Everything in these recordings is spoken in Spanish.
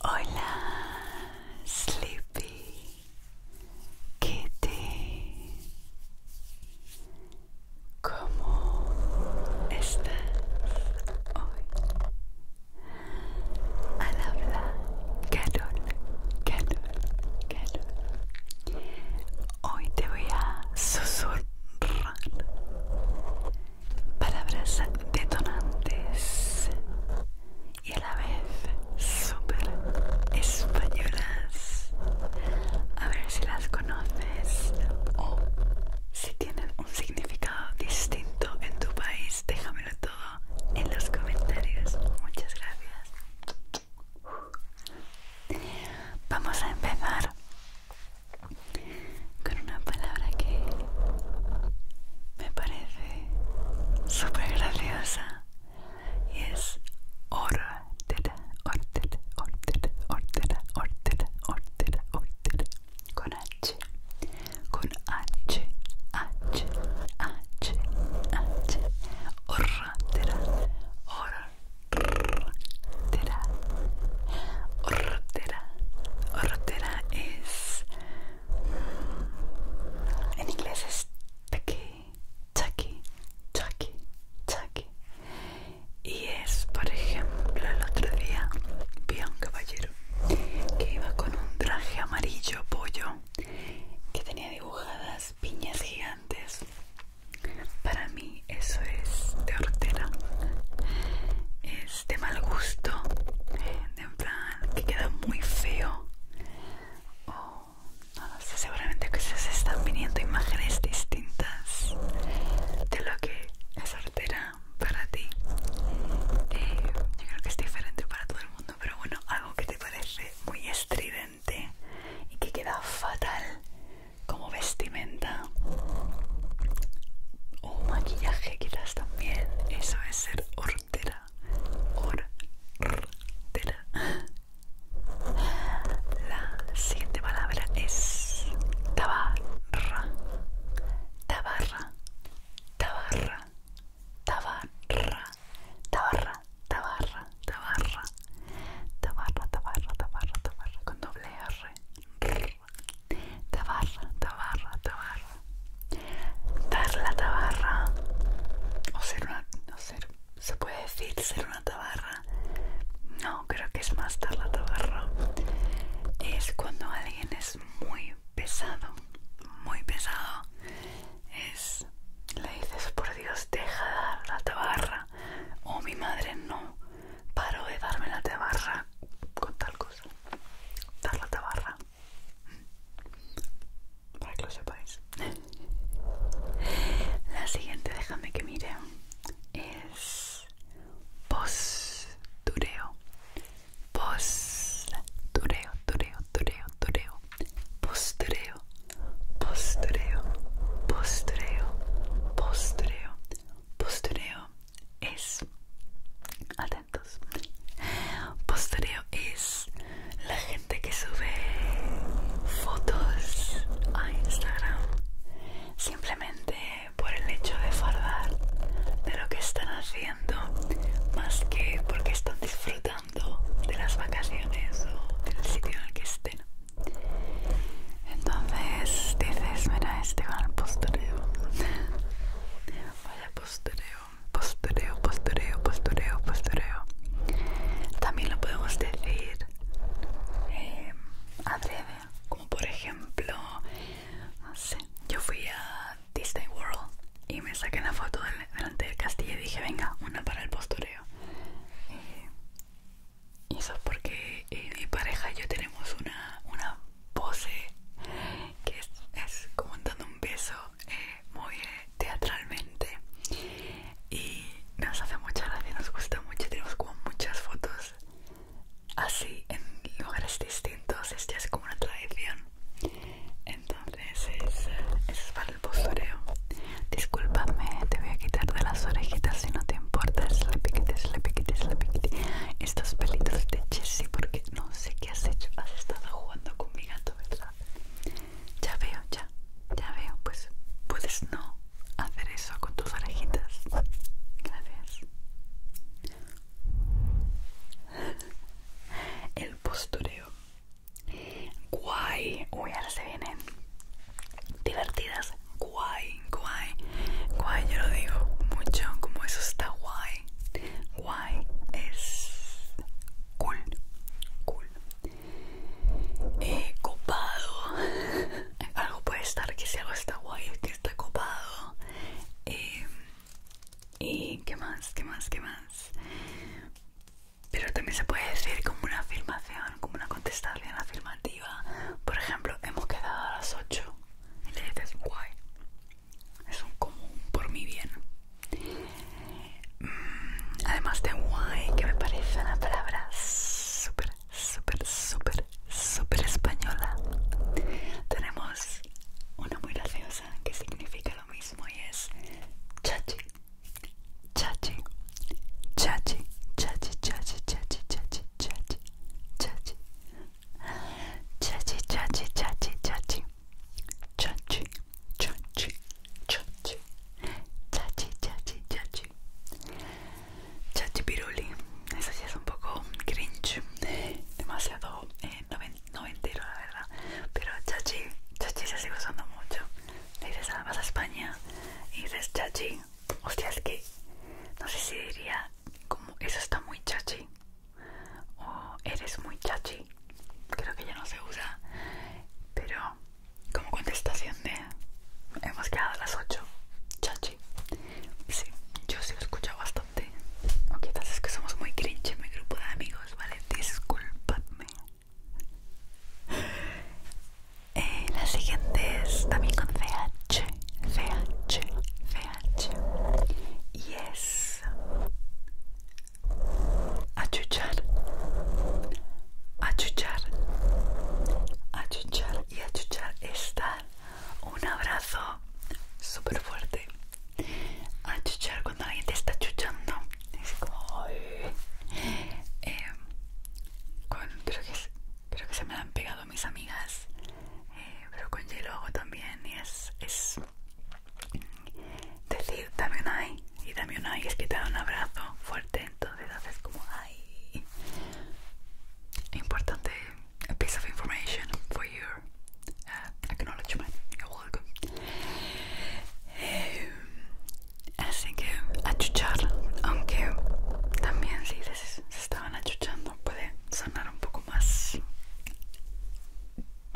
Hola, Sleepy Kitty. ¿Cómo estás hoy? la hablar Hoy te voy a susurrar palabras detonantes y a la vez súper españolas. A ver si las conoces o si tienen un significado distinto en tu país. Déjamelo todo en los comentarios. Muchas gracias. Vamos a empezar con una palabra que me parece súper graciosa y es ortera, ortera, ortera, ortera, ortera, ortera, con H, con H, H, H, H, Ortera, ortera, ortera, ortera es mm, en inglés es tucky, tucky, tucky, tucky y es por ejemplo el otro día vi a un caballero que iba con un traje amarillo pollo que tenía dibujadas piñas gigantes. Para mí eso es de hortera. Es de mal gusto. De en plan que queda muy feo. O no sé, seguramente que se están viniendo imágenes distintas de lo que es hortera para ti. Eh, yo creo que es diferente para todo el mundo, pero bueno, algo que te parece muy estridente y que queda fatal como vestimenta o maquillaje quizás también eso es ser hortera hortera la siguiente palabra es tabarra tabarra tabarra Tabarra, Tabarra, Tabarra, Tabarra, Tabarra, Tabarra, Tabarra, Tabarra, con doble R. Tabarra, Tabarra, Tabarra. Dar la tabarra, o ser una, no ser, se puede decir ser una tabarra. No, creo que es más dar la tabarra. Es cuando alguien es muy pesado, muy pesado. Es le dices, por Dios, deja de dar la tabarra. O mi madre no Paro de darme la tabarra con tal cosa. Dar la tabarra. Para que lo sepáis. La siguiente, déjame que mire, es pos dureo tureo, toreo, toreo, postreo, postureo, postureo, postureo, postureo, es, atentos, postureo es la gente que sube fotos a Instagram simplemente por el hecho de fardar de lo que están haciendo más que porque están disfrutando de las vacaciones o del sitio en el que estén. Entonces dices, mira, este va el postureo. Vaya postureo, postureo, postureo, postureo, postureo. También lo podemos decir eh, breve, como por ejemplo, no sé, yo fui a Disney World y me saqué una foto delante del castillo y dije, venga, una para el postureo. y eso es porque eh, mi pareja y yo tenemos una, una pose que es, como dando un beso eh, muy eh, teatralmente y nos hace mucha gracia, nos gusta mucho, tenemos como muchas fotos así en lugares distintos, esta es como una tradición entonces es, es para el postureo discúlpame te voy a quitar de las orejitas si no te importa le la le es la estos pelitos de Jessie porque no sé qué has hecho has estado jugando con mi gato verdad ya veo ya ya veo pues puedes no hacer eso con tus orejitas gracias el postureo Guay, uy, ahora se vienen divertidas. Guay, guay, guay, yo lo digo mucho, como eso está guay. Guay es cool, cool. Eh, copado, algo puede estar que si algo está guay, que está copado. Eh, ¿Y qué más? ¿Qué más? ¿Qué más? Pero también se puede decir como una afirmación, como una contestación afirmativa. Por ejemplo, hemos quedado a las 8 y le dices guay. Es un común por mi bien. Mm, además de guay, que me parece una palabra súper, súper, súper, súper española. Tenemos una muy graciosa que significa mismo y es chachi, chachi, chachi, chachi, chachi, chachi, chachi, chachi, chachi, chachi, chachi, chachi, chachi, chachi, chachi, chachi, chachi, chachi, chachi, chachi piruli. Eso sí es un poco chachi demasiado chachi no me entero la verdad pero chachi chachi se sigue usando mucho le dices ah, vas a España y dices chachi hostia es que no sé si diría como eso está muy chachi o eres muy chachi creo que ya no se usa pero como contestación de hemos quedado a las 8 chachi sí yo sí lo escuchado bastante Ok, es que somos muy cringe en mi grupo de amigos, ¿vale? Disculpadme. Eh, la siguiente es también con CH. CH. CH. Y es. Achuchar. Achuchar. Achuchar. Y achuchar estar un abrazo súper fuerte a chuchar cuando alguien te está chuchando es como em, creo, que se me han pegado mis amigas eh, pero con hielo hago también y es, decir dame un ay y dame un ay es que te da un abrazo fuerte entonces haces como ay importante piece of information for you your no lo You're welcome. así que achuchar, aunque también si se, estaban achuchando puede sonar un poco más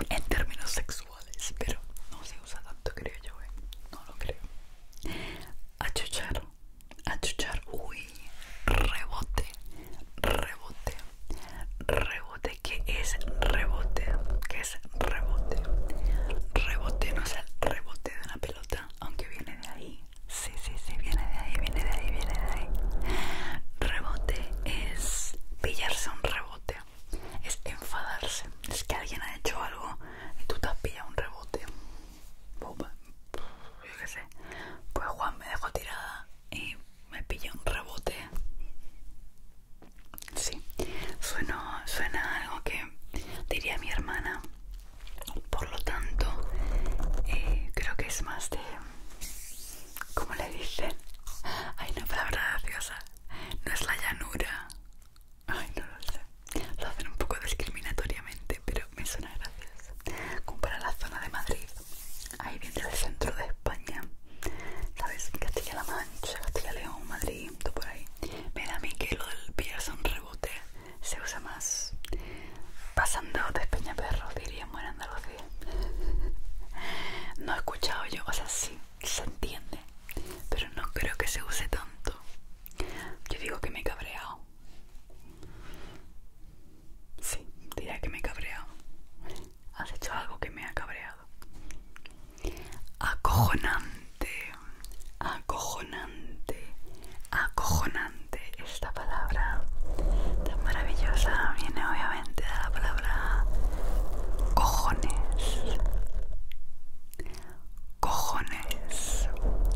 en términos sexuales, pero no se usa tanto, creo yo, eh. no lo creo. Achuchar, achuchar, uy, rebote, rebote, rebote que es rebote, que es rebote. Rebote no es el rebote de una pelota, aunque viene de ahí. Sí, sí, sí, viene de ahí, viene de ahí, viene de ahí. Rebote es pillarse un rebote, es enfadarse. Es que alguien ha hecho algo y tú te has un rebote. Yo qué sé. Pues Juan me dejó tirada y me pilla un rebote. Sí, suena, suena algo que diría mi hermana. Por lo tanto, eh, creo que es más de. ¿Cómo le dicen? Hay una palabra graciosa. No es la llanura. Ay, no lo sé. Lo hacen un poco discriminatoriamente, pero me suena graciosa. Como para la zona de Madrid ahí viene del centro de España, ¿sabes? Castilla-La Mancha, Castilla-León, Madrid, todo por ahí. Mira a mí que lo del son rebote se usa más pasando de perro diría en Andalucía. No he escuchado yo, o sea, sí, se entiende, pero no creo que se use tanto. Yo digo que me he cabreado. Sí, diría que me he cabreado has hecho algo que me ha cabreado. Acojonante, acojonante, acojonante. Esta palabra tan maravillosa viene obviamente de la palabra cojones. Cojones,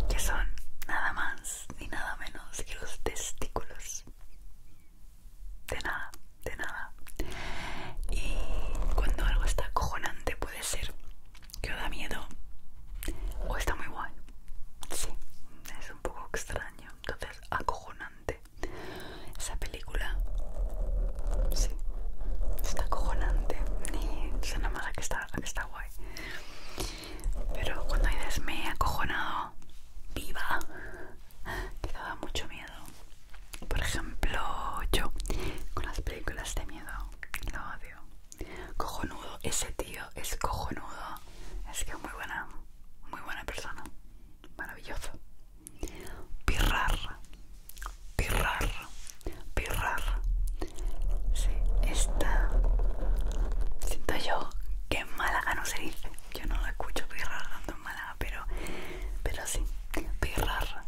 que son nada más ni nada menos que los testículos de nada, de nada. Y cuando algo está acojonante puede ser que da miedo o está muy guay. Sí, es un poco extraño. Entonces, acojonante. Esa película, sí, está acojonante. Ni suena más que está, que está guay. Pero cuando hay me acojonado, viva, que da mucho miedo. Por ejemplo, yo con las películas de miedo lo odio. Cojonudo, ese tío es cojonudo. Es que es muy buena, muy buena persona. Maravilloso. Pirrar, pirrar, pirrar. Sí, esta siento yo que mala Málaga no se dice yo no lo escucho pirrar tanto en pero, pero sí, pirrar.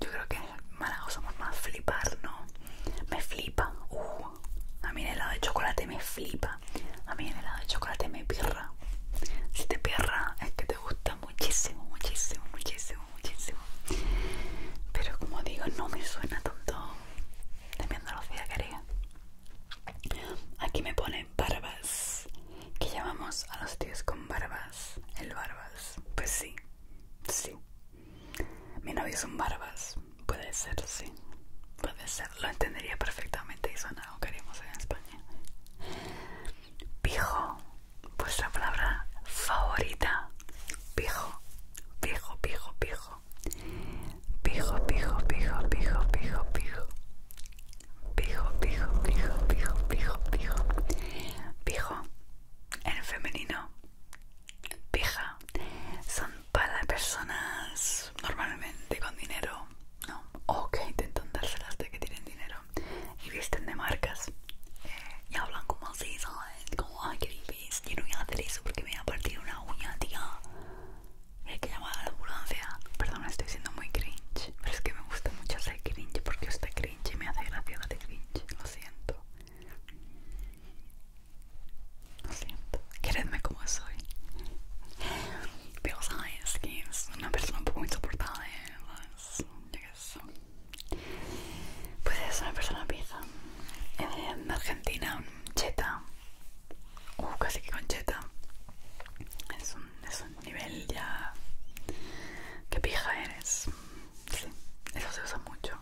Yo creo que en Málaga somos más flipar, ¿no? Me flipa. Uh, a mí el helado de chocolate me flipa. A mí el helado de chocolate me pirra. Si te pirra es que te gusta muchísimo, muchísimo, muchísimo, muchísimo. Pero como digo, no me suena tanto de mi Andalucía querida. Aquí me pone barbas. Que llamamos a los tíos con barbas. El barbas. Pues sí. Sí. Mi novio es un barbas. Puede ser, sí. Puede ser. Lo entendería perfectamente y son algo que haríamos en España. Pijo. Vuestra palabra favorita. Pijo. Pijo, pijo, pijo pijo, pijo, pijo, pijo, pijo, pijo, pijo, pijo, pijo, pijo, pijo, pijo, pijo, en femenino, pija, son para personas normalmente con dinero, ¿no? O que intentan dárselas de que tienen dinero y visten de marcas eh, y hablan como así, ¿sabes? Como, ay, qué difícil, yo no voy a hacer eso porque me voy a partir una uña, tía hay que llamar a la ambulancia. Perdón, estoy siendo muy cringe, pero es que me gusta mucho ser cringe porque usted cringe y me hace gracia darte de cringe. Lo siento. Lo siento. Queredme como soy. Pero que es una persona un poco insoportable. ¿sabes? Pues es una persona pizza En eh, Argentina, cheta. Uh, casi que concheta. Es un, es un nivel ya. Qué pija eres. Sí, eso se usa mucho.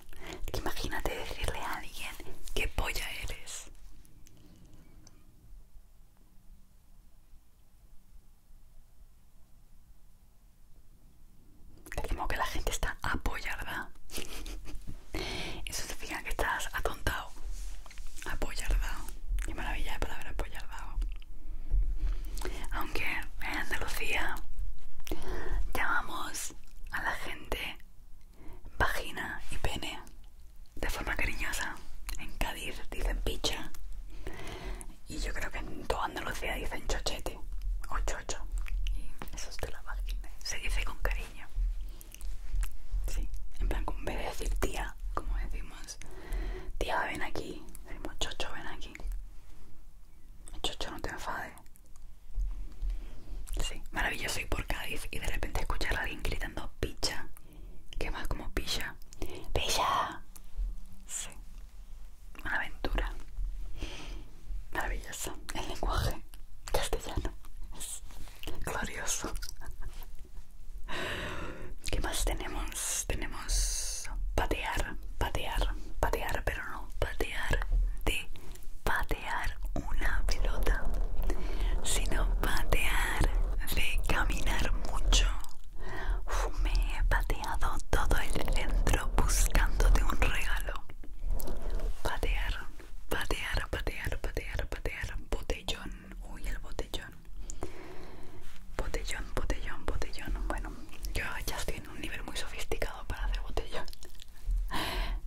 imagínate decirle a alguien qué polla eres. Como que la gente está apoyada. Eso significa que estás atontado, apoyardado. y maravilla de palabra apoyardado. Aunque en Andalucía llamamos a la gente vagina y pene de forma cariñosa. En Cádiz dicen picha. Y yo creo que en toda Andalucía dicen chochete o chocho. Y eso es de la vagina. Se dice con cariño. Sí, en plan, con en vez decir tía, como decimos, tía, ven aquí, decimos chocho, ven aquí. Chocho, no te enfades. Sí, maravilloso ir por Cádiz y de repente escuchar a alguien gritando picha, que más como pilla. ¡Pilla! Sí, una aventura. Maravillosa. El lenguaje castellano glorioso. ¿Qué más tenemos? Tenemos patear, patear, patear, pero no patear de patear una pelota, sino patear de caminar mucho. Me he pateado todo el centro buscándote un regalo. Patear, patear, patear, patear, patear, patear botellón, uy el botellón, botellón, botellón, botellón. Bueno, yo ya estoy en un nivel muy sofisticado para hacer botellón.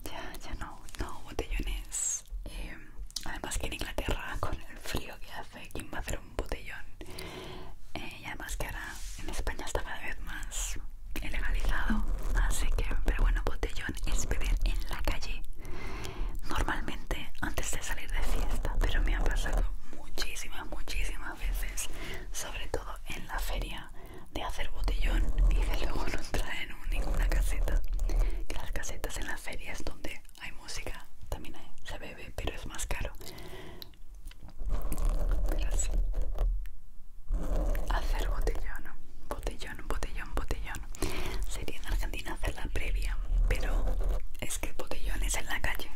ya, ya no, no, botellones. Eh, además que en Inglaterra con el frío que hace, ¿quién va a hacer un botellón? Eh, y además que ahora en España está cada vez más legalizado, así que, pero bueno, botellón es beber en la calle. Normalmente antes de salir de fiesta, pero me ha pasado muchísimas, muchísimas veces, sobre todo en la feria, de hacer botellón y de luego no traen ninguna caseta. Que las casetas en las feria es donde hay música, también se bebe, pero es más caro. Pero sí. Hacer botellón botellón, botellón, botellón. Sería en Argentina hacer la previa, pero es que botellón es en la calle.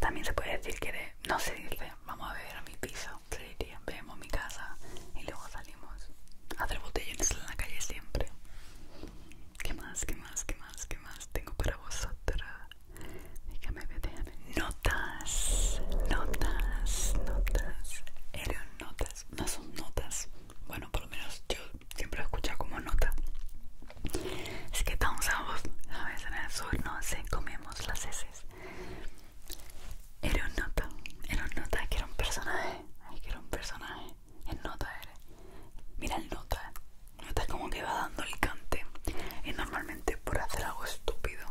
También se puede decir que no se dice, vamos a ver a mi piso, se diría, vemos mi casa y luego salimos. Hacer botellones en la calle siempre. ¿Qué más, qué más, qué más, qué más tengo para vosotras? Déjame, déjame. Notas, notas, notas. Eran notas, no son notas bueno por lo menos yo siempre lo escuchado como nota es que estamos un a veces en el sur no sé, comemos las heces era un nota era un nota que era un personaje que era un personaje el nota era mira el nota nota como que va dando el cante y normalmente por hacer algo estúpido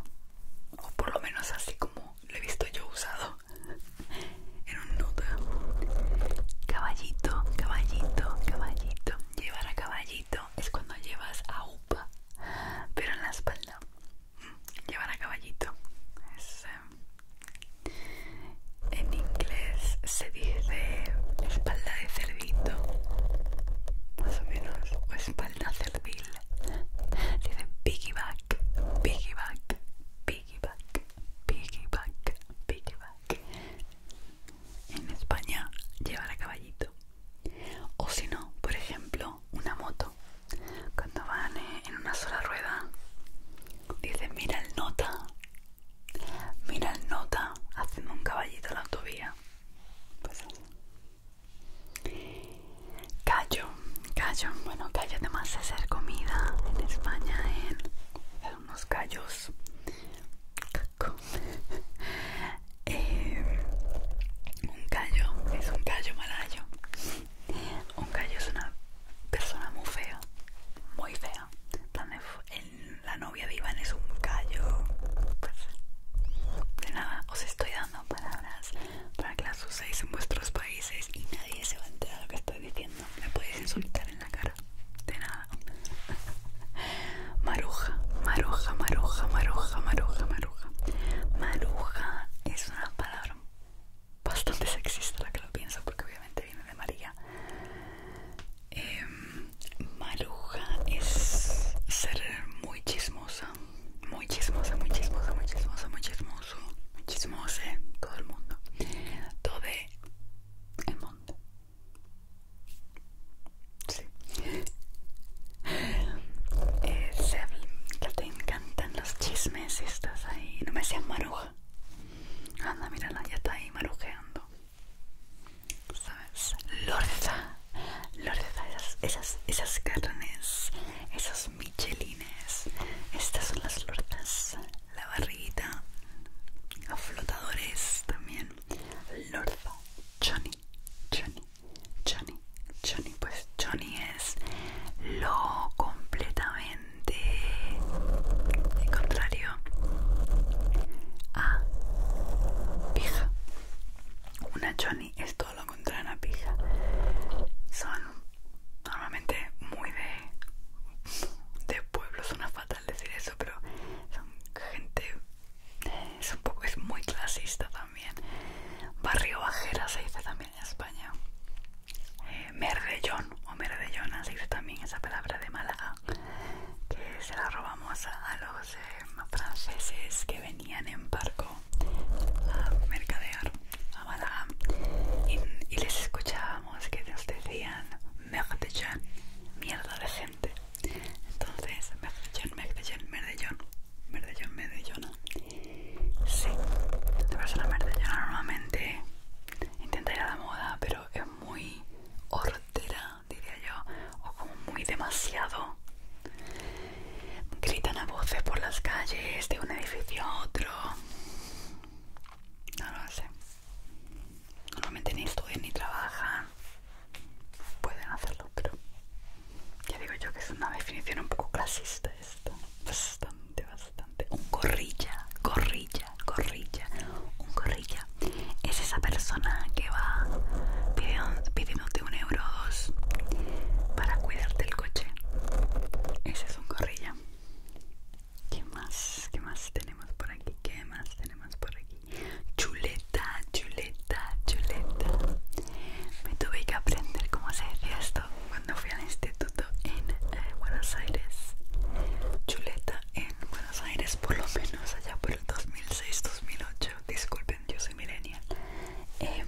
o por lo menos así como lo he visto yo usado en un nudo caballito caballito caballito llevar a caballito es cuando llevas a upa pero en la espalda mm, llevar a caballito es, eh, en inglés se dice espalda de cerdito más o menos o espalda cerdil se dice piggyback piggyback piggyback piggyback, piggyback, piggyback. En España llevan a caballito. O si no, por ejemplo, una moto. Cuando van eh, en una sola rueda, dicen mira el nota, mira el nota, haciendo un caballito a la autovía. Pues Callo, callo, bueno, callo además de hacer comida en España en, unos callos. Eh, un callo es un callo malayo. Un callo es una persona muy fea, muy fea. la novia de Iván es un callo. Pues, de nada, os estoy dando palabras para que las uséis en vuestros países y nadie se va a enterar de lo que estoy diciendo. Me podéis insultar en la cara. De nada. Maruja, maruja, maruja, maruja, maruja, maruja. Maruja es una palabra bastante sexista la que lo pienso porque obviamente viene de María. Em, maruja es ser muy chismosa muy chismosa, muy chismosa, muy chismosa, muy chismoso, muy chismose, ¿eh? todo el mundo, todo el mundo. Sí. Eh, se, te encantan los chismes y estás ahí, no me seas maruja. Anda, mírala, ya está ahí marujeando. ¿Sabes? Lorza, lorza, esas, esas, esas carnes, esos michelines estas son las lortas la barriguita los flotadores también lorza, Johnny Johnny Johnny Johnny pues Johnny es lo completamente contrario a pija una Johnny esto todo lo encontraron a pija. Son normalmente muy de, de pueblo, suena fatal decir eso, pero son gente, es un poco, es muy clasista también. Barrio Bajera se dice también en España. Eh, merdellón o merdellona se dice también esa palabra de Málaga que se la robamos a los eh, franceses que venían en barco a mercadear a Madame y, les escuchábamos que nos decían Merdejan, mierda de gente. Entonces, Merdellón, Merdellón, Merdellón, Merdellón, Merdellona. Sí, la persona merdellona normalmente intenta ir a la moda, pero es muy hortera, diría yo, o como muy demasiado gritan a voces por las calles de un edificio a otro. No lo sé. Normalmente ni estudian ni trabajan. Pueden hacerlo, pero ya digo yo que es una definición un poco clasista esto, Bastante, bastante. Un gorrilla, gorrilla, gorrilla. Un gorrilla es esa persona que va pidiéndote un euro dos para cuidarte el coche. Ese es un gorrilla. ¿Qué más? ¿Qué más tenemos por aquí? ¿Qué más tenemos por aquí? Chuleta, chuleta, chuleta. Me tuve que aprender cómo se decía esto cuando fui al instituto en eh, Buenos Aires. Chuleta en Buenos Aires, por lo menos allá por el 2006-2008. Disculpen, yo soy milenial. Em,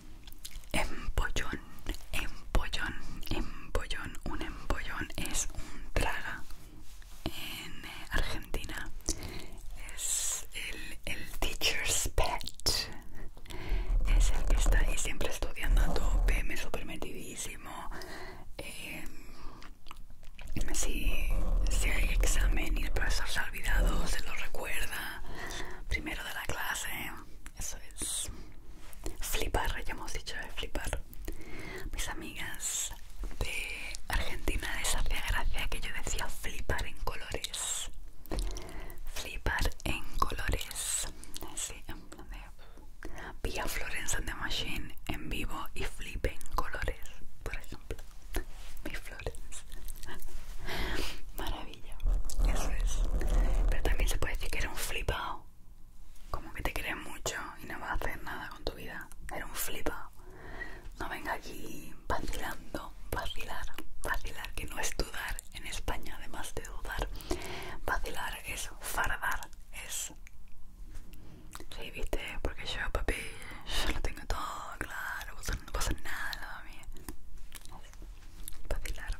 Empollón, empollón, empollón. Un empollón es un traga en eh, Argentina. Es el, teacher's pet. Es el que está ahí siempre estudiando a tope, me si, em, si hay examen y el profesor se ha olvidado, se lo recuerda primero de la clase. Eso es flipar, ya hemos dicho flipar. Mis amigas de Argentina les hacía que yo decía flipar en colores. Flipar en colores. vía en de... Florence and the Machine en vivo y flipe en colores, por ejemplo. Maravilla, eso es. Pero también se puede decir que era un flipado. Como que te crees mucho y no vas a hacer nada con tu vida. Era un flipado. No venga aquí vacilando, vacilar, vacilar, que no es dudar en España, además de dudar. Vacilar es fardar, es. Sí, viste, porque yo, papi, yo lo tengo todo claro, no pasa nada al lado mío. Vacilar.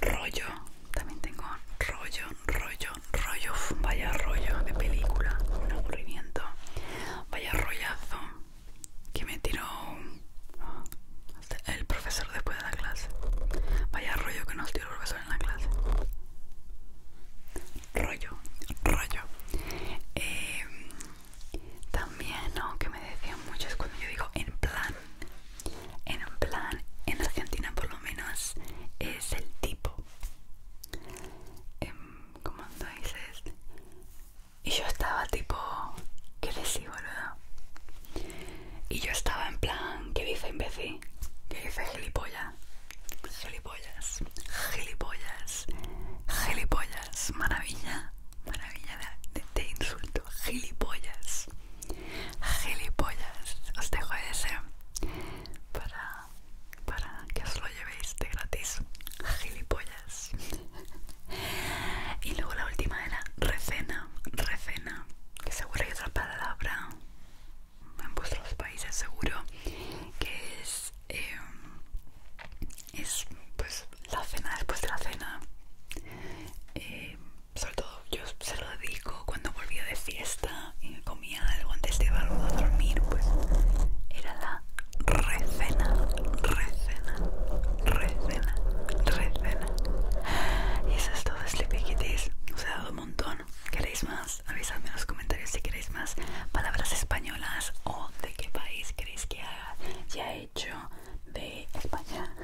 Rollo. También tengo rollo, rollo, rollo. Vaya rollo de película. Un aburrimiento. Vaya rollazo. Que me tiró el profesor después de la clase. Vaya rollo que nos tiró el profesor en la clase. Rollo, rollo. Eh, también, ¿no? Que me decían muchos cuando yo digo en plan, en plan, en Argentina por lo menos es el tipo. Em, ¿Cómo dices? Y yo estaba tipo, ¿qué decís, boludo? Y yo estaba en plan, ¿qué dice imbécil? ¿Qué dice gilipollas? Gilipollas, gilipollas, gilipollas, maravilla maravilla de, insulto, gilipollas, gilipollas, os dejo ese para, para que os lo llevéis de gratis, gilipollas. y luego la última era recena, recena, que seguro hay otra palabra en vuestros países seguro que es eh, es pues la cena después de la cena eh, sobre todo yo se lo dedico cuando volvía de fiesta y comía algo antes de llevarlo a dormir pues era la recena recena recena recena y eso es todo Sleepy Kitties os he dado un montón queréis más avisadme en los comentarios si queréis más palabras españolas o de qué país queréis que haya ya he hecho de España,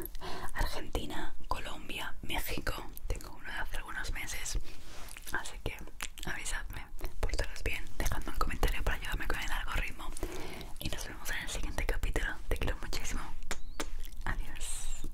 Argentina, Colombia, México. Tengo uno de hace algunos meses, así que avisadme, portaros bien, dejadme un comentario para ayudarme con el algoritmo. Y nos vemos en el siguiente capítulo. Te quiero muchísimo. Adiós.